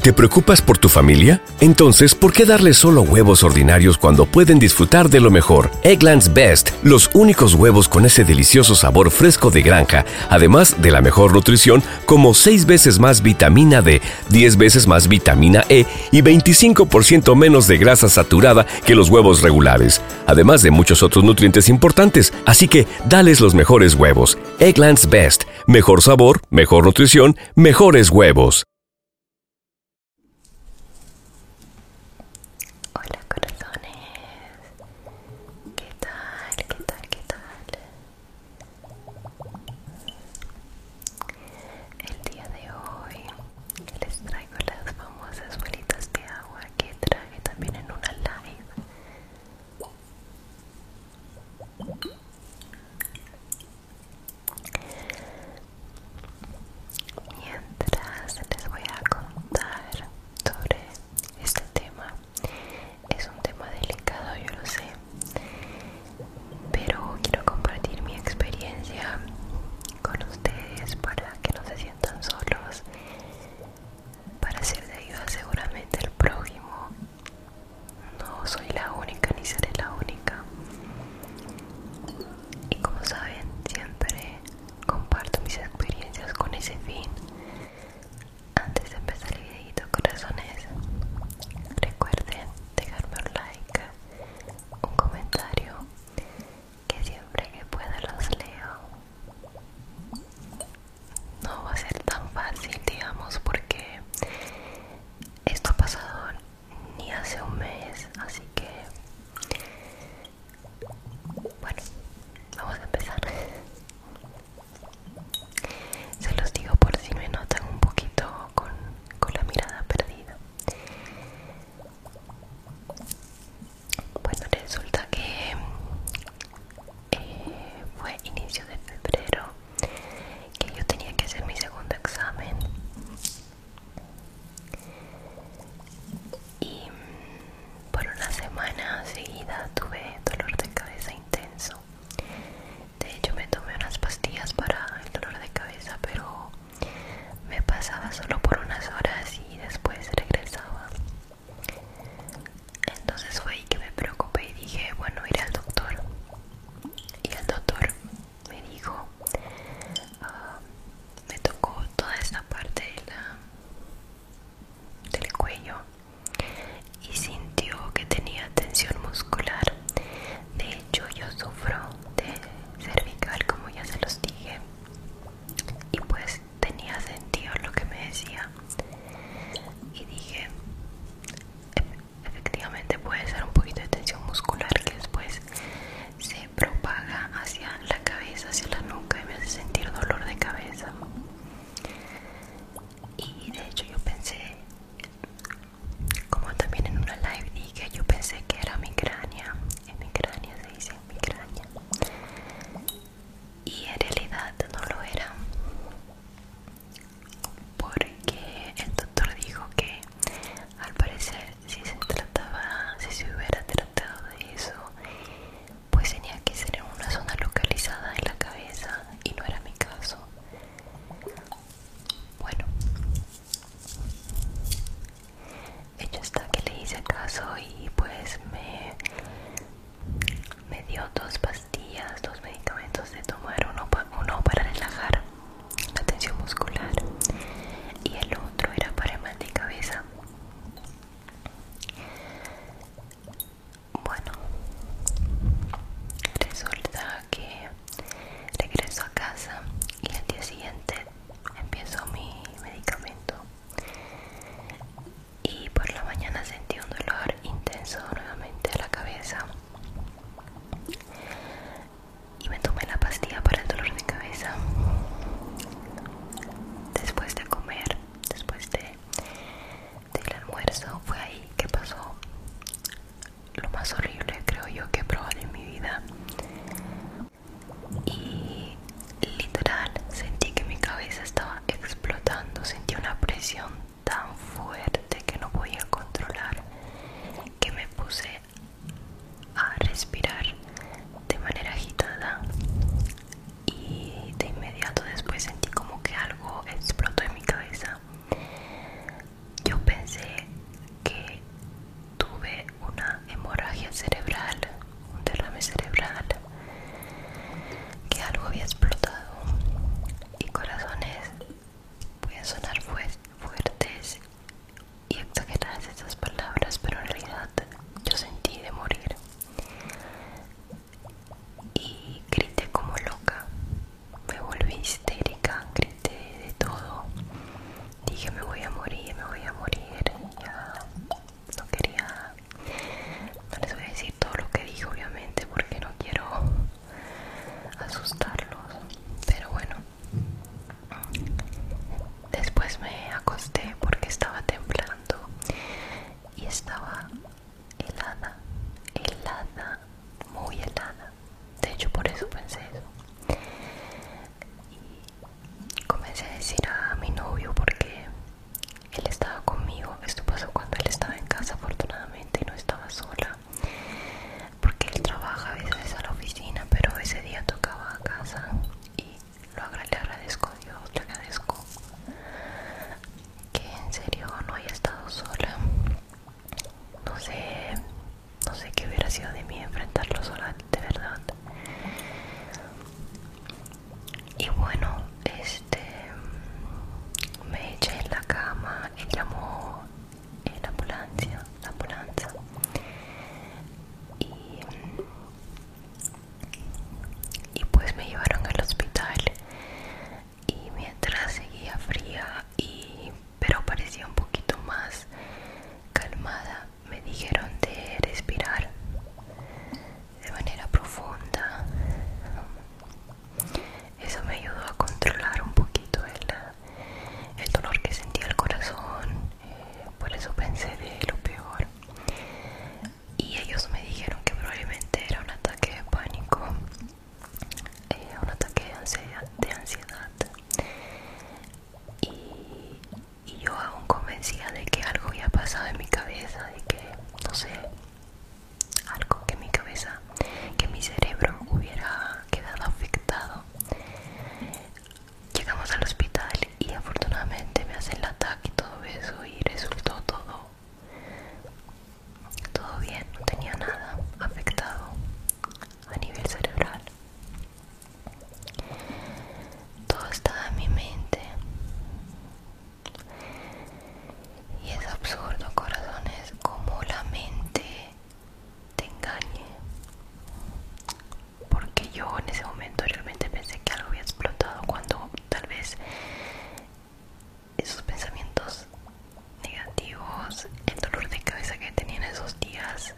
¿Te preocupas por tu familia? Entonces, ¿por qué darle solo huevos ordinarios cuando pueden disfrutar de lo mejor? Eggland's Best, los únicos huevos con ese delicioso sabor fresco de granja, además de la mejor nutrición, como 6 veces más vitamina D, 10 veces más vitamina E y 25% menos de grasa saturada que los huevos regulares, además de muchos otros nutrientes importantes. Así que, dales los mejores huevos. Eggland's Best, mejor sabor, mejor nutrición mejores huevos. Hola corazones. ¿Qué tal? ¿Qué tal? ¿Qué tal? El día de hoy les traigo las famosas bolitas de agua que traje también en una live. Mientras les voy a contar sobre este tema, es un tema delicado, yo lo sé, pero quiero compartir mi experiencia con ustedes para que no se sientan solos, para ser de ayuda seguramente el prójimo no soy la única ni seré la única. Y como saben, siempre comparto mis experiencias con ese fin. Antes de empezar el videito, corazones, recuerden dejarme un like, un comentario, que siempre que pueda los leo. No va a ser tan fácil, digamos, porque esto ha pasado ni hace un mes, así que bueno, vamos a empezar. Se los digo por si me notan un poquito con, la mirada perdida. Bueno, resulta que eh, fue inicio de febrero que yo tenía que hacer mi segundo examen y mm, por una semana seguida tuve dolor de cabeza intenso de hecho me tomé unas pastillas para el dolor de cabeza pero me pasaba solo por unas horas y después regresaba entonces fue ahí que me preocupé y dije bueno iré al doctor y el doctor me dijo ah, me tocó toda esta parte de la, del cuello y sintió que tenía tensión muscular de hecho yo sufro de cervical como ya se los dije y pues tenía sentido lo que me decía y dije efectivamente puede ser un poquito de tensión muscular que después se propaga hacia la cabeza, hacia la nuca y me hace sentir dolor de cabeza. Y de hecho yo pensé, como también en una live dije, yo pensé que era migraña, en migraña se dice migraña, y en realidad no lo era porque el doctor dijo que al parecer si se trataba, si se hubiera tratado de eso, pues tenía que ser en una zona localizada en la cabeza y no era mi caso. Bueno, hecho está que le hice caso y pues me me dio dos pastillas, dos medicamentos de tomar, uno, para relajar la tensión muscular y el otro era para el mal de cabeza. Bueno, resulta que regreso a casa y el día siguiente empiezo mi medicamento y por la mañana sentí un dolor intenso nuevamente a la cabeza y me tomé la pastilla para el dolor de cabeza después de comer después de del almuerzo fue ahí que pasó lo más horrible creo yo que he probado en mi vida y literal sentí que mi cabeza estaba explotando sentí una presión tan fuerte que no podía controlar que me puse a respirar de manera agitada y de inmediato después sentí como que algo explotó en mi cabeza yo pensé que tuve una hemorragia cerebral un derrame cerebral que algo había explotado y corazones voy a sonar fuertes y exageradas estas palabras, pero en realidad yo sentí de morir y grité como loca, me volví histérica, grité de todo, dije me voy a morir, me voy a morir, ya no quería, no les voy a decir todo lo que dije obviamente porque no quiero asustarlos pero bueno después me acosté porque estaba temblando y estaba helada helada muy helada de hecho por eso pensé eso y comencé a decir a mi novio porque él estaba conmigo esto pasó cuando él estaba en casa afortunadamente y no estaba sola porque él trabaja a veces a la oficina pero ese día tocaba a casa y lo agradezco Dios le agradezco que en serio no haya estado sola no sé no sé qué hubiera sido de mí enfrentarlo sola de verdad y bueno este me eché en la cama y llamó la ambulancia, la ambulancia y, y pues me llevaron al hospital y mientras seguía fría pero parecía un poquito más calmada me dijeron de respirar de manera profunda eso me ayudó a controlar un poquito el, dolor que sentía el corazón eh, por eso pensé de lo peor y ellos me dijeron que probablemente era un ataque de pánico eh, un ataque de ansiedad, Y, yo aún convencía de que algo había pasado en mi cabeza de que no sé algo que mi cabeza, que mi cerebro hubiera quedado afectado. Llegamos al hospital y afortunadamente me hacen el ataque y todo eso y resultó todo, todo bien, no tenía nada afectado a nivel cerebral. Todo estaba en mi mente y es absurdo, corazones, como la mente te engañe. Porque yo en ese momento realmente pensé que algo había explotado cuando tal vez esos pensamientos negativos, el dolor de cabeza que tenía en esos días,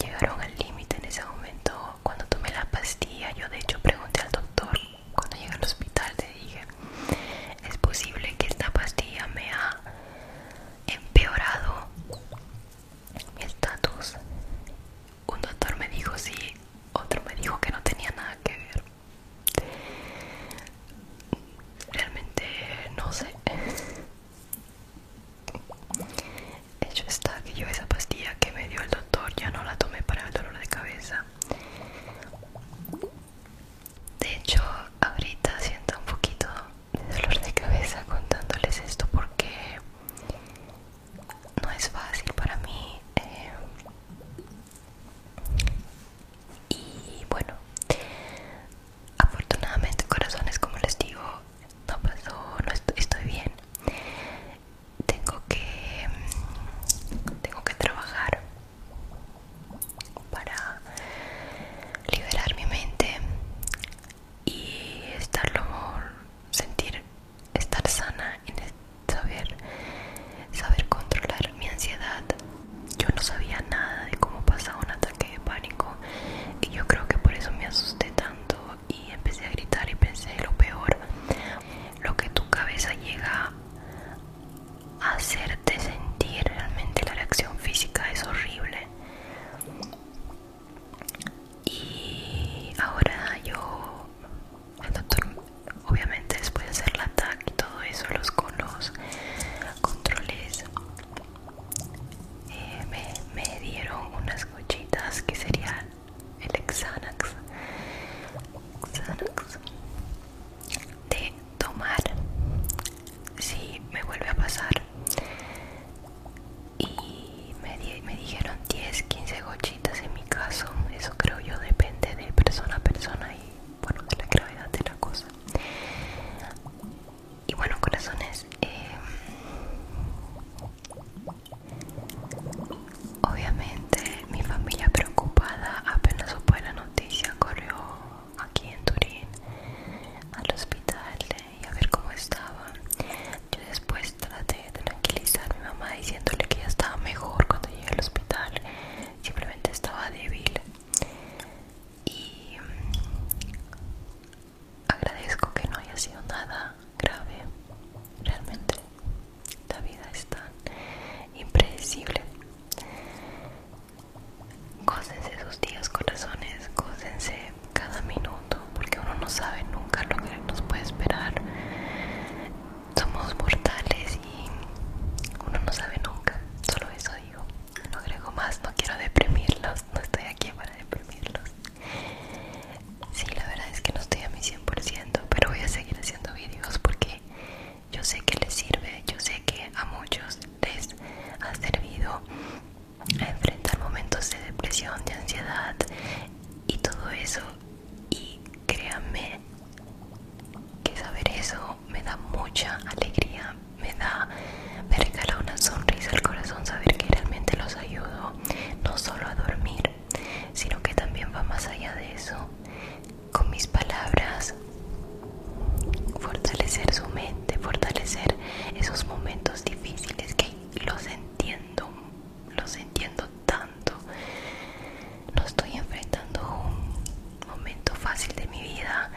llegaron al límite en ese momento. Cuando tomé la pastilla, yo de hecho pregunté al doctor, cuando llegué al hospital, le dije, es posible que esta pastilla me ha empeorado mi estatus. Un doctor me dijo sí, otro me dijo que no tenía nada que ver. Realmente no sé. Hecho está que yo esa pastilla que me dio el doctor ya no la tomé para el dolor de cabeza. De hecho, ahorita siento un poquito de dolor de cabeza contándoles esto porque no es fácil para mí. Eh, y bueno, afortunadamente corazones, como les digo, no pasó, no estoy bien. Tengo que, tengo que trabajar para liberar mi mente y estarlo sentir estar sana y saber saber controlar mi ansiedad yo no sabía nada de cómo pasaba un ataque de pánico y yo creo que por eso me asusté tanto y empecé a gritar y pensé lo peor lo que tu cabeza llega hacerte sentir realmente la reacción física es horrible y ahora yo obviamente después de hacer la TAC y todo eso los con los controles eh, me, dieron unas cochitas que serían el exanax de tomar si me vuelve a pasar y me, dijeron 10 15 gochitas en mi caso eso creo yo depende de persona a persona y bueno de la gravedad de la cosa y bueno corazones em, obviamente mi familia preocupada apenas supo la noticia corrió aquí en Turín al hospital y a ver cómo estaba. Yo después traté de tranquilizar a mi mamá diciéndole que ya estaba mejor cuando llegué al hospital, simplemente estaba débil. Y mm, agradezco que no haya sido nada grave, realmente la vida es tan impredecible Gócense sus días, corazones, gócense cada minuto, porque uno no sabe nunca lo que nos puede esperar. Somos mortales y uno no sabe nunca, solo eso digo. No creo más, no quiero deprimirlos, no estoy aquí para deprimirlos. Sí, la verdad es que no estoy a mi 100%, pero voy a seguir haciendo vídeos porque yo sé que les sirve, yo sé que a muchos les ha servido a enfrentar momentos de depresión, de ansiedad y todo eso. Y créanme que saber eso me da mucha alegría, me da, me regala una sonrisa al corazón saber que realmente los ayudo no solo a dormir, sino que también va más allá de eso con mis palabras fortalecer su mente, fortalecer esos momentos difíciles que los entiendo, los entiendo tanto. No estoy enfrentando un momento fácil de mi vida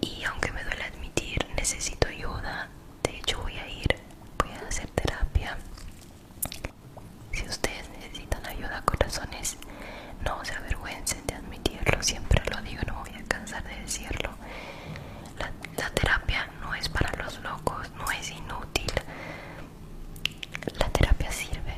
y aunque me duele admitir, necesito ayuda. De hecho voy a ir, voy a hacer terapia si ustedes necesitan ayuda, corazones, no se avergüencen de admitirlo. Siempre lo digo, no voy a cansar de decirlo. la terapia no es para los locos, no es inútil. La terapia sirve.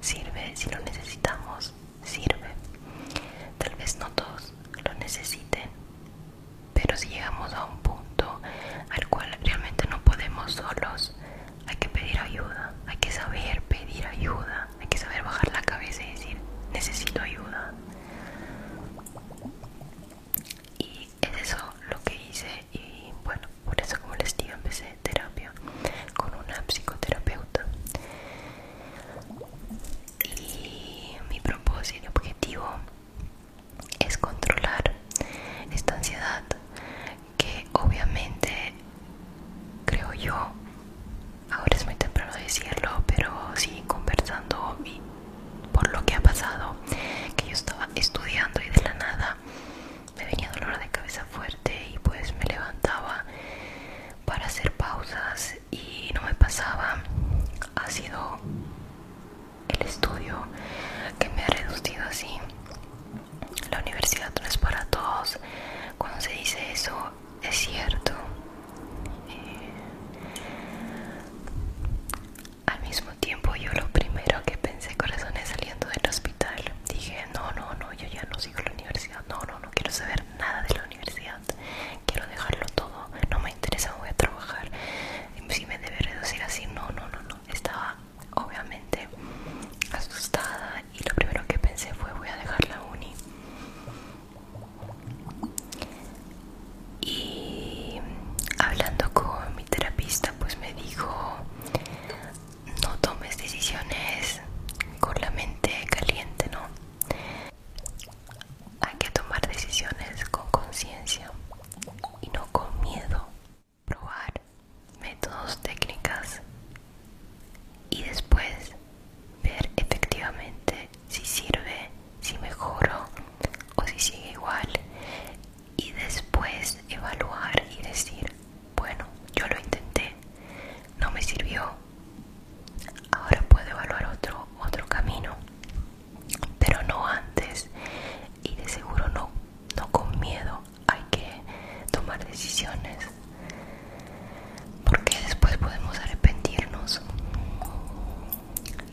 Sirve si lo necesitamos, sirve. Tal vez no todos lo necesiten, pero si llegamos a un punto al cual realmente no podemos solos, hay que pedir ayuda, hay que saber pedir ayuda, hay que saber bajar la cabeza y decir necesito ayuda. Y es eso lo que hice y bueno, por eso como les digo empecé terapia con una psicoterapeuta. Y mi propósito y objetivo es controlar esta ansiedad que obviamente creo yo ahora es muy temprano decirlo pero sí conversando y por lo que ha pasado que yo estaba estudiando y de la nada me venía dolor de cabeza fuerte y pues me levantaba para hacer pausas y no me pasaba ha sido el estudio que me ha reducido así la universidad no es para todos. Cuando se dice eso, es cierto. Eh, al mismo tiempo, yo lo primero que pensé, es saliendo del hospital, dije, no, no, no, yo ya no sigo la universidad, no, no, no quiero saber nada de la universidad, quiero dejarlo todo, no me interesa, voy a trabajar, si me debe reducir así, no, no, no, no, estaba obviamente asustada y lo primero que pensé fue voy a dejar la uni y hablando con mi terapista pues me dijo no tomes decisiones con la mente caliente no hay que tomar decisiones con conciencia y no con miedo probar métodos, técnicas y después ver efectivamente si sirve, si mejoro o si sigue igual y después evaluar y decir, bueno, yo lo intenté, no me sirvió, ahora puedo evaluar otro, otro camino, pero no antes y de seguro no, no con miedo hay que tomar decisiones porque después podemos arrepentirnos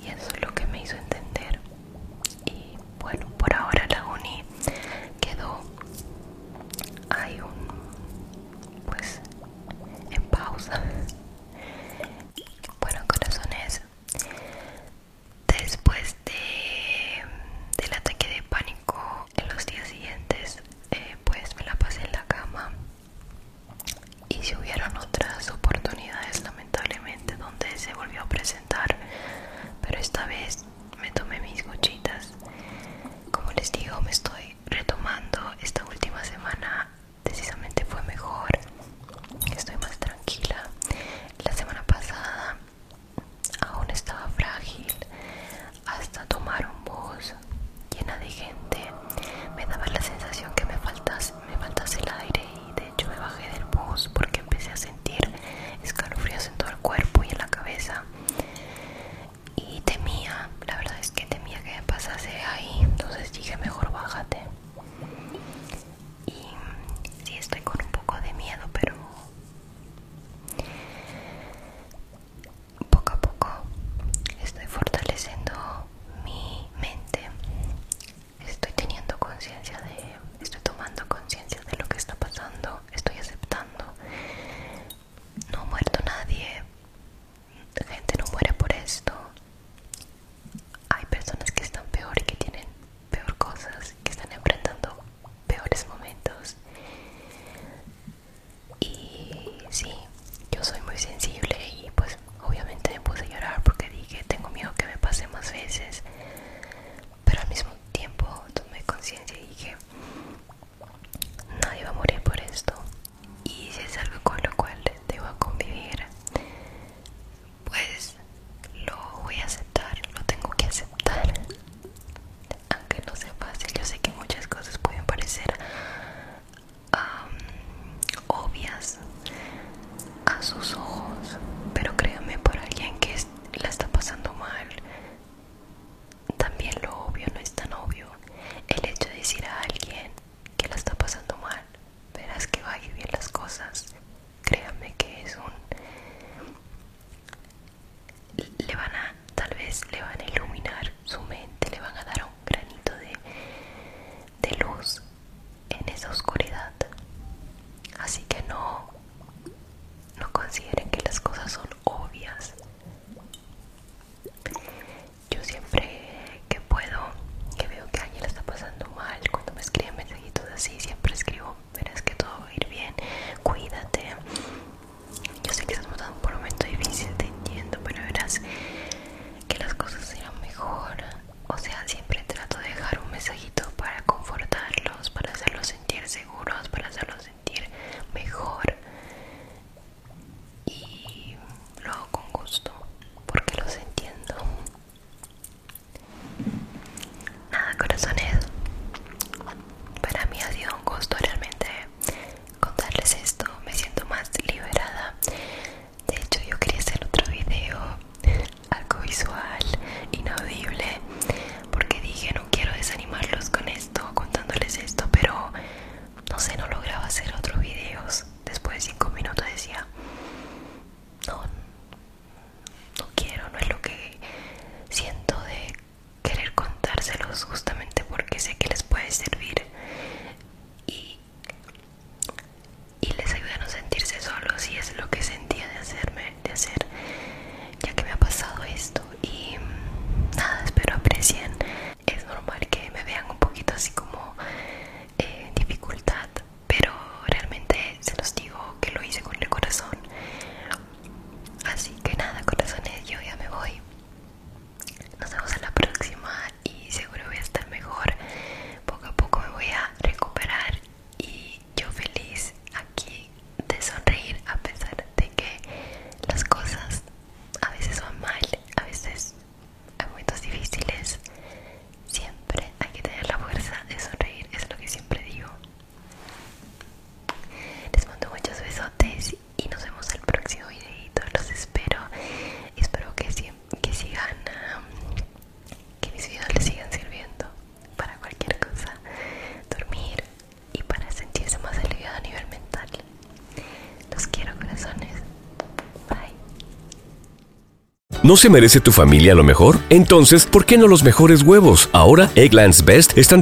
y eso es lo que me hizo entender y bueno por ahora la uni quedó hay un pues en pausa bueno corazones después de del ataque de pánico en los días siguientes eh, pues me la pasé en la cama y si hubieron otras oportunidades lamentablemente donde se volvió a presentar pero esta vez me tomé mis gochitas como les digo me estoy retomando esta última semana precisamente fue mejor estoy más tranquila la semana pasada aún estaba frágil hasta tomar un bus llena de gente me daba la sensación que me faltase, me el aire y de hecho me bajé del bus porque empecé a sentir escalofríos en todo el cuerpo y en la cabeza y temía, la verdad es que temía que me pasase ahí entonces dije mejor bájate y sí estoy con un poco de miedo pero poco a poco estoy fortaleciendo mi mente. Estoy teniendo conciencia de, estoy tomando conciencia de lo que está pasando, estoy aceptando. No ha muerto nadie, la gente no muere por esto. Hay personas que están peor que tienen peor cosas, que están enfrentando peores momentos y sí yo soy muy sensible y pues obviamente me puse a llorar porque dije tengo miedo que me pase más veces pero al mismo tiempo tomé conciencia y dije nadie va a morir por esto y si es algo con lo cual debo convivir pues lo voy a aceptar lo tengo que aceptar aunque no sea fácil yo sé que muchas cosas pueden parecer obvias a sus ojos pero créanme por alguien que la está pasando mal también lo obvio no es tan obvio el hecho de decir a alguien que la está pasando mal verás que va a ir bien las cosas créanme que es un le van a, tal vez le van a iluminar su mente, le van a dar un granito de, luz en esa oscuridad. Así que no, no consideren que las cosas son obvias. Yo siempre que puedo, que veo que alguien la está pasando mal, cuando me escriben mensajitos así, siempre escribo verás que todo va a ir bien, cuídate. Yo sé que estás pasando por un momento difícil, te entiendo, pero verás que las cosas irán mejor. O sea, siempre trato de dejar un mensajito para confortarlos, para hacerlos sentir seguros, para hacerlos sentir mejor. Y lo hago con gusto, porque los entiendo. Nada, corazones. Para mí ha sido un gusto realmente contarles esto. Me siento más liberada. De hecho, yo quería hacer otro video, algo visual, inaudible, porque dije no quiero desanimarlos con esto, contándoles esto, pero no sé, no lograba hacer otros videos. Después de cinco minutos decía, no, no quiero, no es lo que siento de querer contárselos justamente porque sé que les puede servir y, les ayuda a no sentirse solos y es lo que sentía de hacerme, de hacer ya que me ha pasado esto y nada, espero aprecien es normal que me vean un poquito así como eh, dificultad pero realmente se los digo que lo hice con el corazón Así que nada, corazones, yo ya me voy. Nos vemos en la próxima y seguro voy a estar mejor. Poco a poco me voy a recuperar y yo feliz aquí de sonreír a pesar de que las cosas a veces van mal, a veces hay momentos difíciles. Siempre hay que tener la fuerza de sonreír, es lo que siempre digo. Les mando muchos besotes y nos vemos el próximo videito. Los espero. Espero que, sigan, que mis videos les sigan sirviendo para cualquier cosa, dormir y para sentirse más aliviado a nivel mental. Los quiero, corazones. Bye. ¿No se merece tu familia lo mejor? Entonces, ¿por qué no los mejores huevos? Ahora, Egglands Best están